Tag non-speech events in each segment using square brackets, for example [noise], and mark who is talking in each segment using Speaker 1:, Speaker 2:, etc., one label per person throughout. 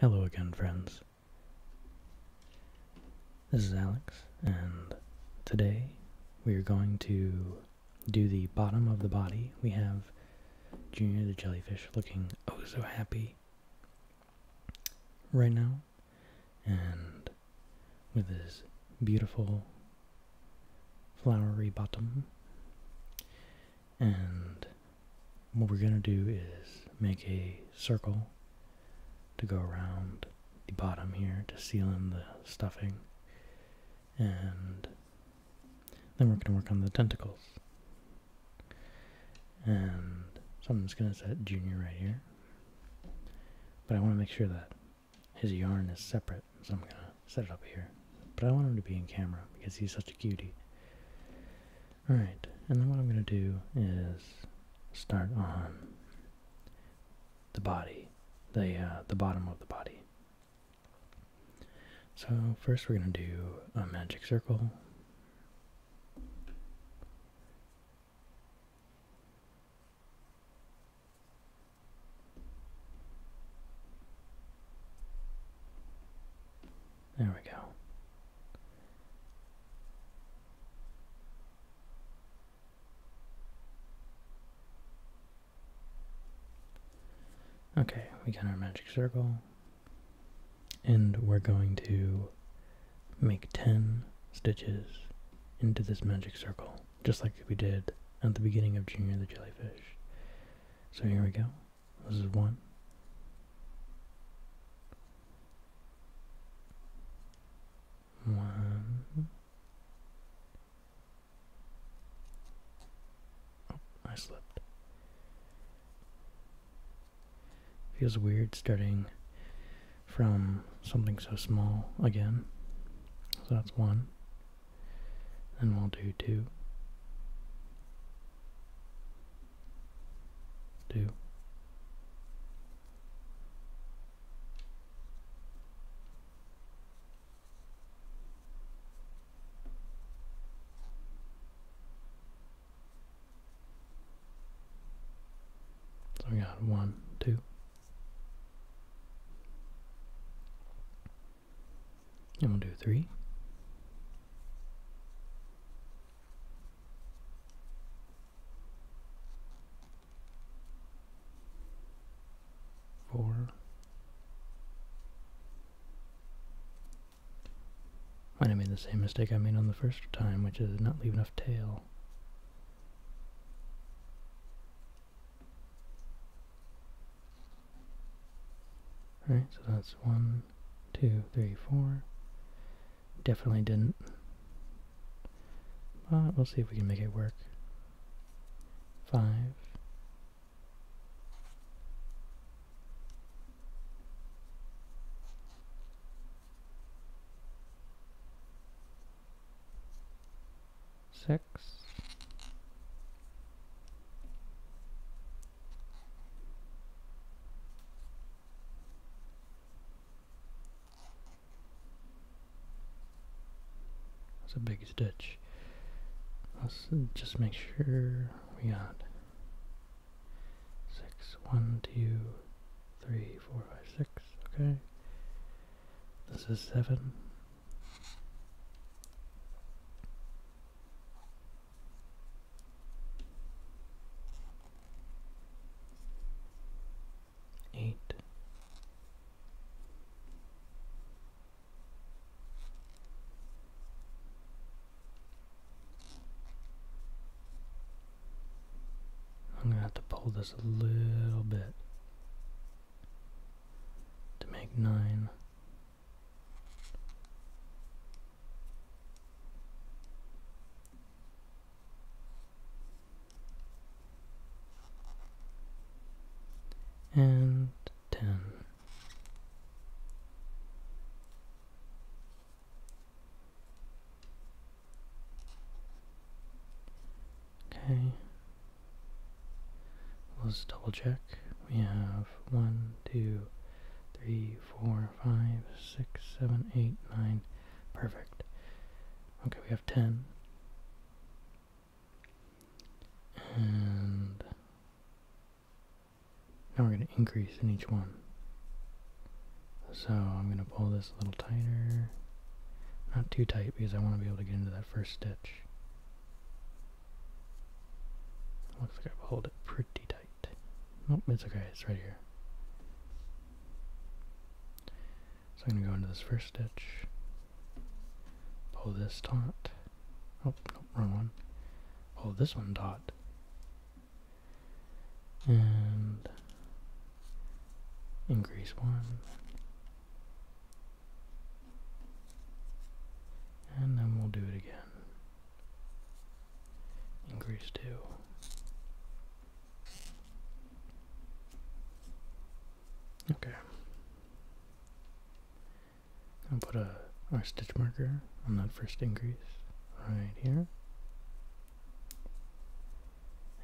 Speaker 1: Hello again, friends. This is Alex, and today we are going to do the bottom of the body. We have Junior the Jellyfish looking oh so happy right now, and with his beautiful flowery bottom. And what we're going to do is make a circle to go around the bottom here to seal in the stuffing. And then we're going to work on the tentacles. And so I'm just going to set Junior right here. But I want to make sure that his yarn is separate, so I'm going to set it up here. But I want him to be in camera because he's such a cutie. Alright, and then what I'm going to do is start on the body, the, uh, the bottom of the body. So first we're going to do a magic circle. There we go. Okay, we got our magic circle. And we're going to make 10 stitches into this magic circle, just like we did at the beginning of Junior the Jellyfish. So here we go. This is one. One. Oh, I slipped. Feels weird starting from something so small again. So that's one. And we'll do two do. So we got one, two. And we'll do three. Four. Might have made the same mistake I made on the first time, which is not leave enough tail. Alright, so that's one, two, three, four. Definitely didn't. But we'll see if we can make it work. Five. Six. That's a big stitch. Let's just make sure we got six. One, two, three, four, five, six. Okay. This is seven eight I'm gonna have to pull this a little bit to make nine and 10. Okay, let's double check we have one, two, three, four, five, six, seven, eight, nine. Perfect. Okay, we have 10. And now we're going to increase in each one. So I'm going to pull this a little tighter. Not too tight because I want to be able to get into that first stitch. Looks like I to hold it pretty tight. Nope, it's okay, it's right here. So I'm gonna go into this first stitch, pull this dot. oh, nope, wrong one, pull this one dot. and increase one, and then we'll do it again. Increase 2. Okay. I'll put a, our stitch marker on that first increase right here.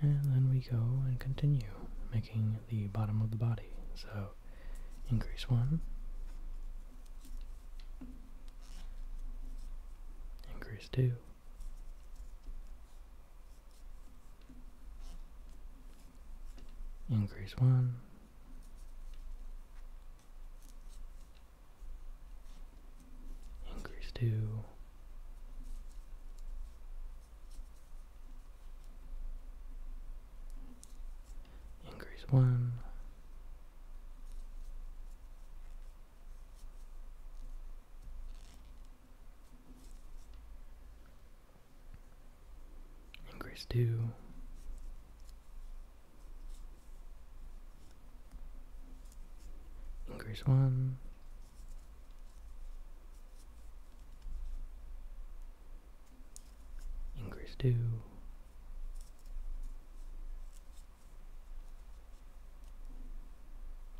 Speaker 1: And then we go and continue making the bottom of the body. So increase one, increase two, increase one. Increase two, Increase one. Increase two. Increase one. Increase two.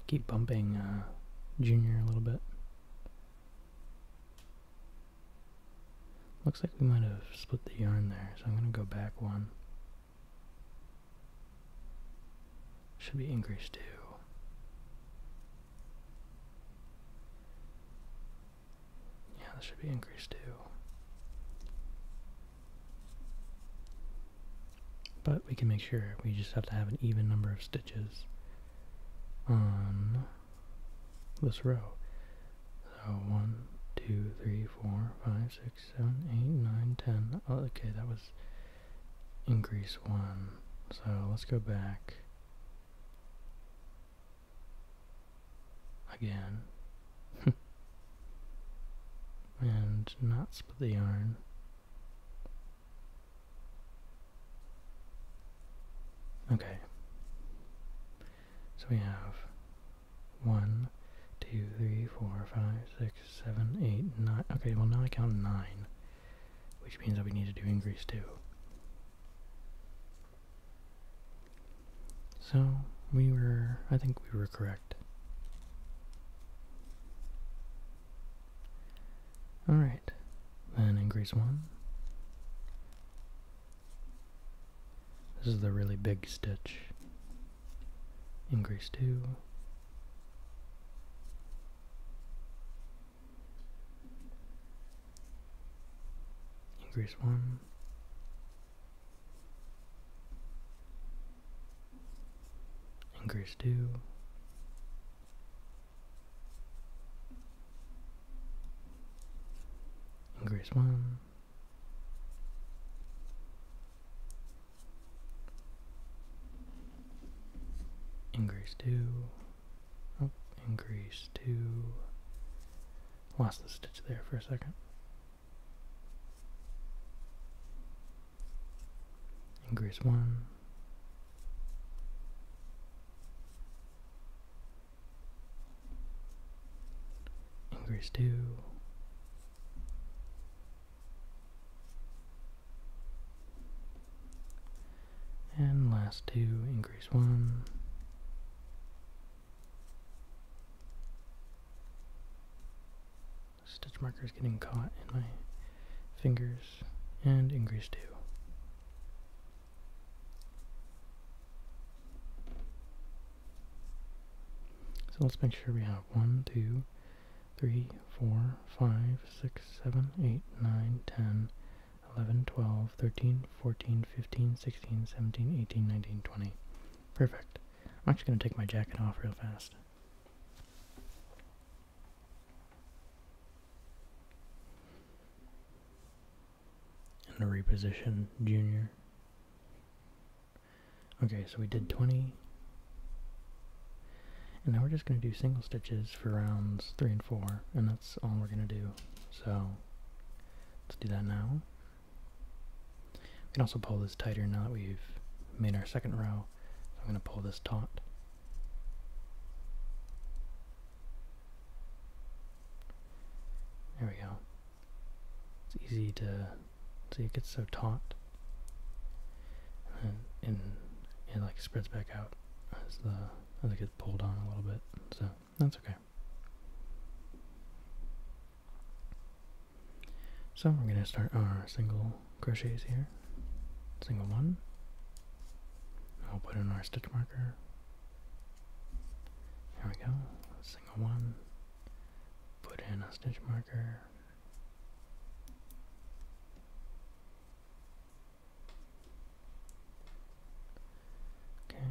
Speaker 1: Keep bumping uh, Junior a little bit. Looks like we might have split the yarn there, so I'm going to go back one. Should be increase two. Yeah, this should be increased too. But we can make sure we just have to have an even number of stitches on this row. So one, two, three, four, five, six, seven, eight, nine, ten. Oh, okay, that was increase 1. So let's go back again [laughs] and not split the yarn okay so we have one two three four five six seven eight nine okay well now I count nine which means that we need to do increase two so we were, I think we were correct. Alright, then increase one. This is the really big stitch. Increase two. Increase one. Increase two. Increase one. Increase two increase two. Lost the stitch there for a second. Increase one. Increase two. And last two, increase one. Stitch marker is getting caught in my fingers. And increase two. So let's make sure we have one, two, three, four, five, six, seven, eight, nine, ten. 11, 12, 13, 14, 15, 16, 17, 18, 19, 20. Perfect. I'm actually going to take my jacket off real fast. And reposition junior. Okay, so we did 20. And now we're just going to do single stitches for rounds 3 and 4, and that's all we're gonna do. So let's do that now. We can also pull this tighter now that we've made our second row. So I'm gonna pull this taut. There we go. It's easy to see it gets so taut. And, and it like spreads back out as the as it gets pulled on a little bit, so that's okay. So we're going to start our single crochets here. Single one. I'll put in our stitch marker. There we go. Single one. Put in a stitch marker. Okay,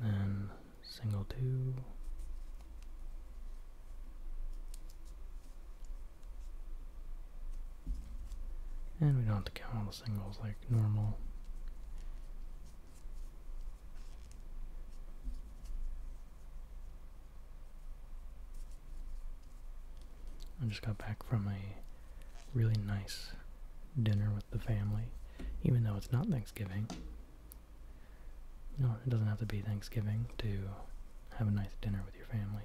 Speaker 1: then single two. And we don't have to count all the singles like normal. I just got back from a really nice dinner with the family, even though it's not Thanksgiving. No, it doesn't have to be Thanksgiving to have a nice dinner with your family.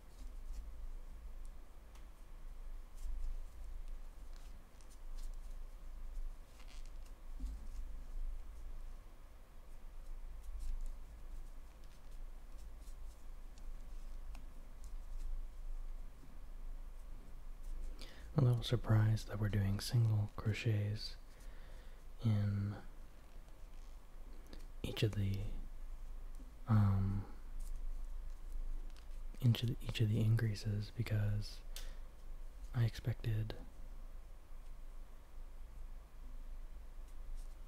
Speaker 1: A little surprised that we're doing single crochets in each of the um, each of each of the increases because I expected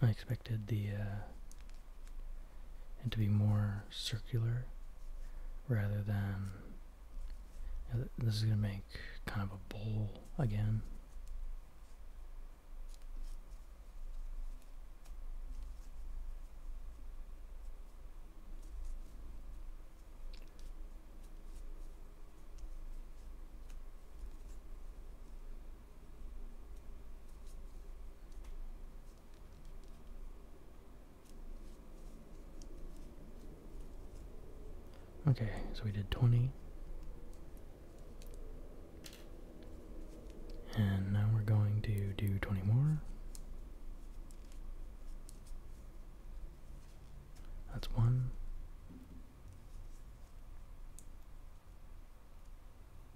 Speaker 1: I expected the and uh, to be more circular rather than this is gonna make kind of a bowl again Okay, so we did 20, and now we're going to do 20 more. That's one.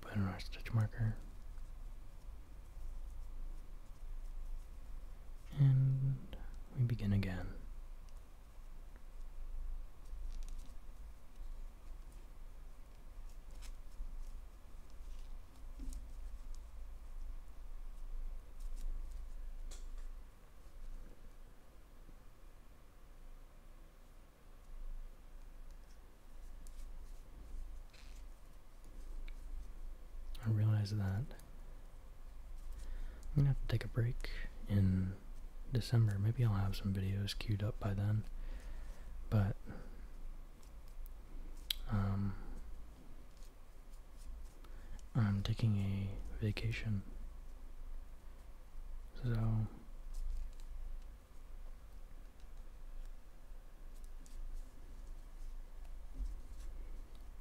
Speaker 1: Put our stitch marker. And we begin again. I realize that I'm gonna have to take a break in. December. Maybe I'll have some videos queued up by then. But um, I'm taking a vacation. So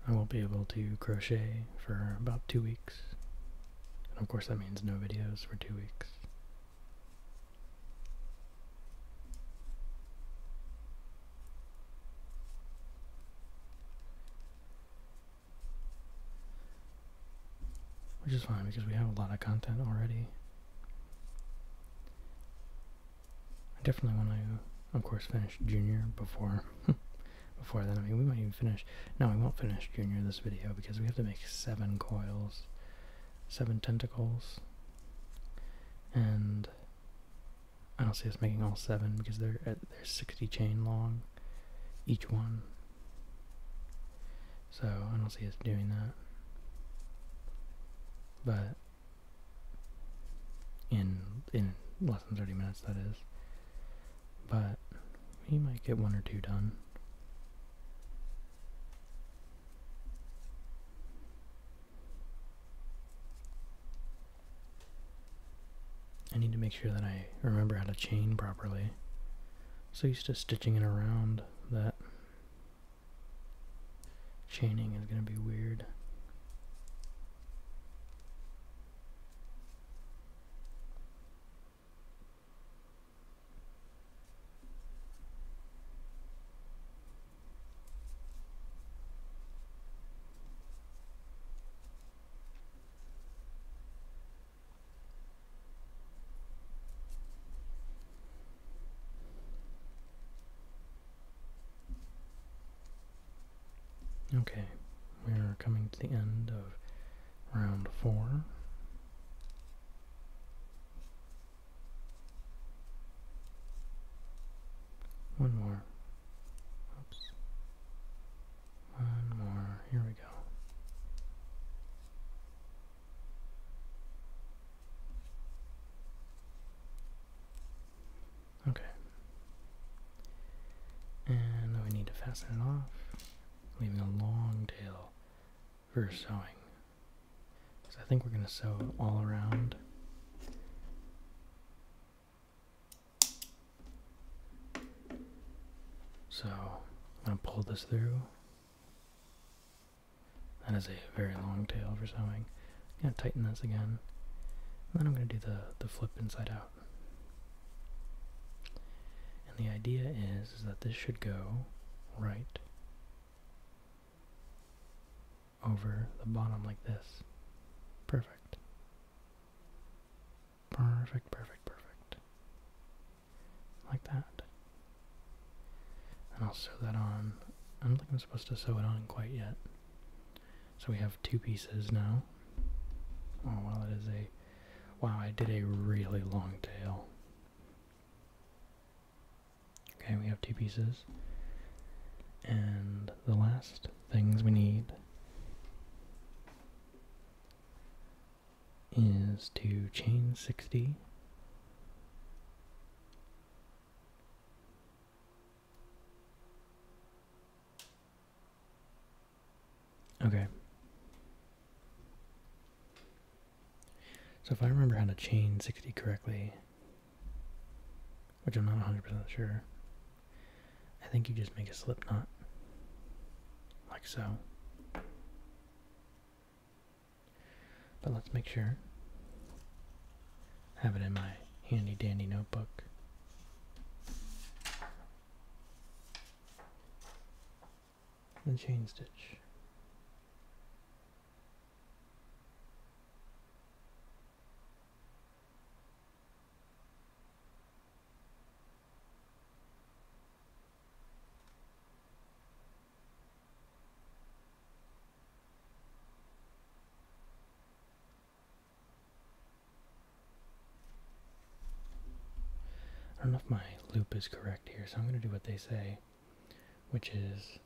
Speaker 1: I won't be able to crochet for about two weeks. And of course that means no videos for two weeks. Which is fine because we have a lot of content already. I definitely want to, of course, finish junior before [laughs] before then. I mean, we might even finish finish. No, I won't finish Junior this video because we have to make seven coils, seven tentacles, and I don't see us making all seven because they're uh, they're 60 chain long, each one. So I don't see us doing that. But in in less than 30 minutes that is. But we might get one or two done. I need to make sure that I remember how to chain properly. So used to stitching it around that chaining is going to be weird. Okay, we're coming to the end of round four. One more. Oops. One more. Here we go. Okay. And we need to fasten it off, leaving a long tail for sewing. Because I think we're going to sew all around. So I'm going to pull this through. That is a very long tail for sewing. I'm going to tighten this again. And then I'm going to do the, the flip inside out. And the idea is, that this should go right over the bottom like this. Perfect. Perfect, perfect, perfect. Like that. And I'll sew that on. I don't think I'm supposed to sew it on quite yet. So we have two pieces now. Oh, well, it is a Wow, I did a really long tail. Okay, we have two pieces. And the last things we need is to chain 60 Okay. So if I remember how to chain 60 correctly, which I'm not 100% sure, I think you just make a slip knot, like so. But let's make sure. I have it in my handy dandy notebook and chain stitch. I don't know if my loop is correct here, so I'm going to do what they say, which is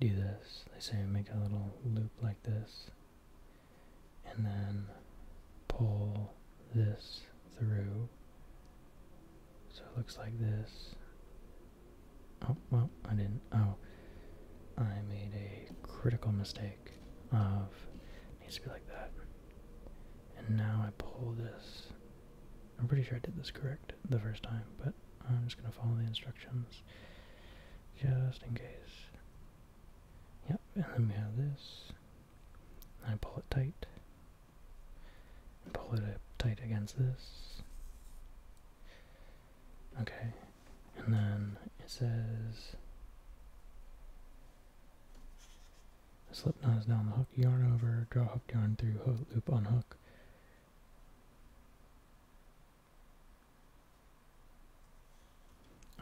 Speaker 1: do this. They say make a little loop like this, and then pull this through. So it looks like this. Oh, well, I didn't. Oh, I made a critical mistake of needs to be like that. And now I pull this. I'm pretty sure I did this correct the first time, but I'm just gonna follow the instructions just in case. Yep, and then we have this. I pull it tight. pull it up tight against this. Okay, and then it says slip knot down the hook, yarn over, draw hook yarn through, loop on hook.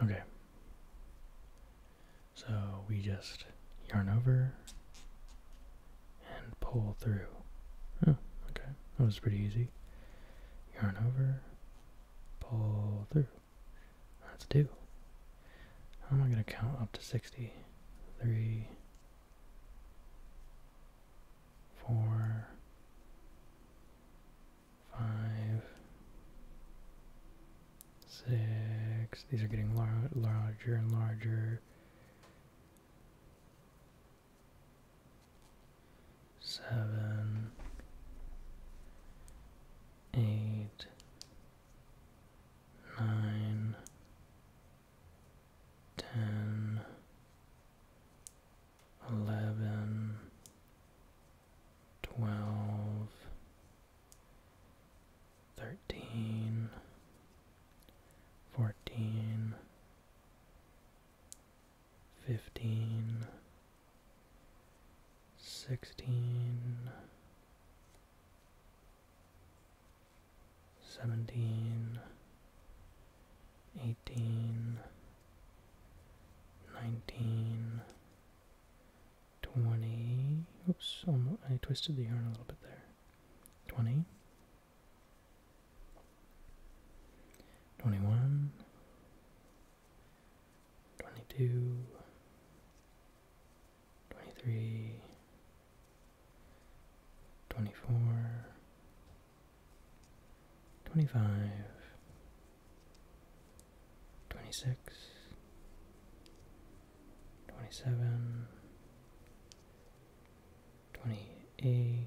Speaker 1: Okay. So we just yarn over and pull through. Oh, okay. That was pretty easy. Yarn over, pull through. That's 2 do. How am I going to count up to 60? 3, 4, 5, These are getting larger and larger seven, eight, nine, ten, eleven, twelve, thirteen, fourteen fifteen, sixteen, seventeen, eighteen, nineteen, twenty. Oops, I twisted the yarn a little bit there. Twenty. 21 22 23 24 25 26 27 28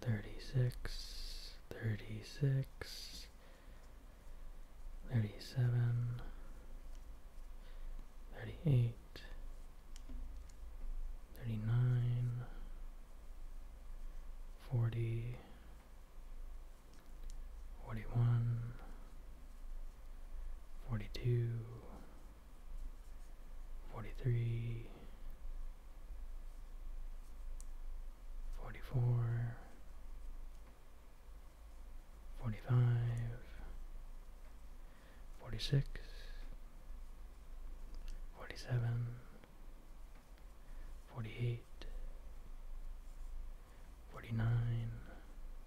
Speaker 1: 36, 36, 37, 38, 39, 40, 41, 42, 43 44 45 46 47 48 49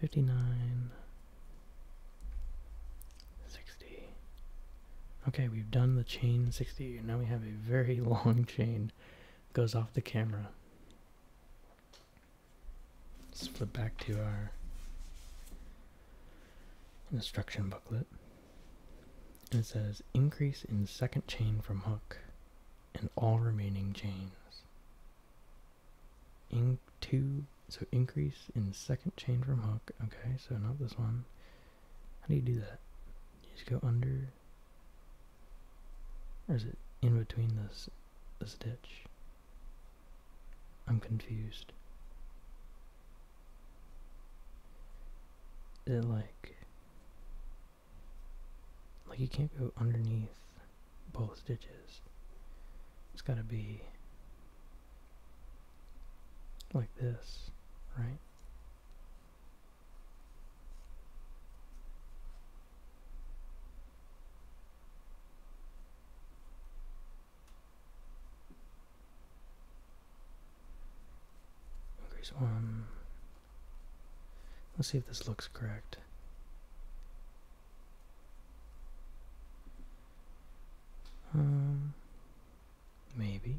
Speaker 1: 59, Okay, we've done the chain 60. Now we have a very [laughs] long chain. Goes off the camera. Let's flip back to our instruction booklet. And it says, increase in second chain from hook and all remaining chains. In two, so increase in second chain from hook. Okay, so not this one. How do you do that? You just go under, or is it in between this the stitch? I'm confused. Is it like like you can't go underneath both stitches. It's gotta be like this, right? Increase one, um, Let's see if this looks correct. Um, maybe.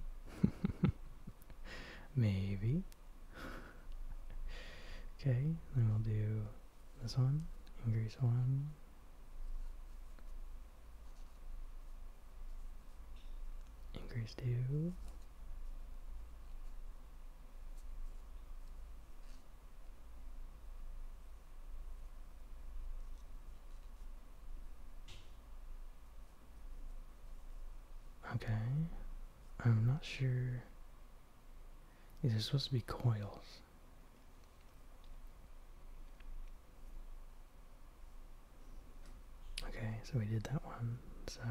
Speaker 1: [laughs] maybe. okay, and we'll do this one, increase one. Increase two. Okay, I'm not sure. These are supposed to be coils. Okay, so we did that one, so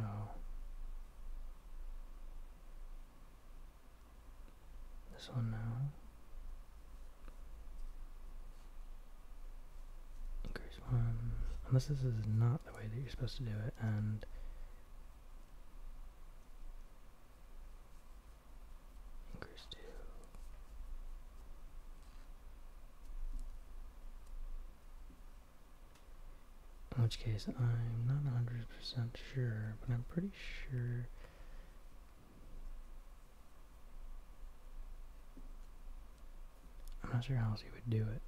Speaker 1: this one now. Increase one. Unless this is not the way that you're supposed to do it, and increase two. In which case, I'm not 100% sure, but I'm pretty sure. I'm not sure how else you would do it.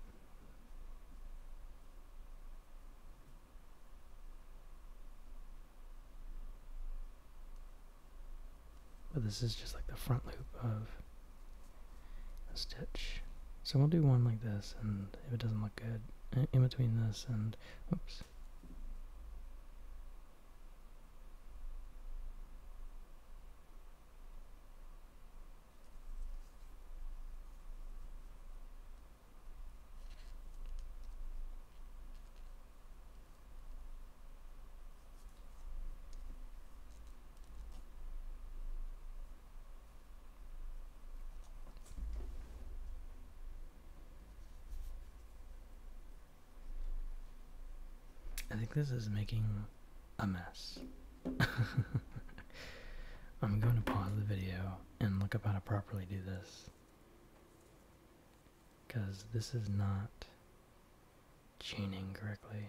Speaker 1: But this is just like the front loop of a stitch. So we'll do one like this, and if it doesn't look good, in between this and, oops. I think this is making a mess. [laughs] I'm going to pause the video and look up how to properly do this. Because this is not chaining correctly.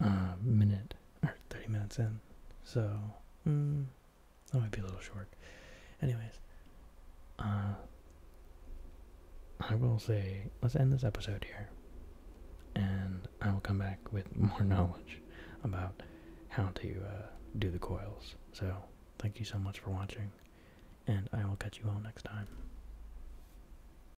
Speaker 1: a uh, minute or 30 minutes in. So, mm, that might be a little short. Anyways, uh, I will say, let's end this episode here. And I will come back with [laughs] more knowledge about how to uh, do the coils. So, thank you so much for watching, and I will catch you all next time.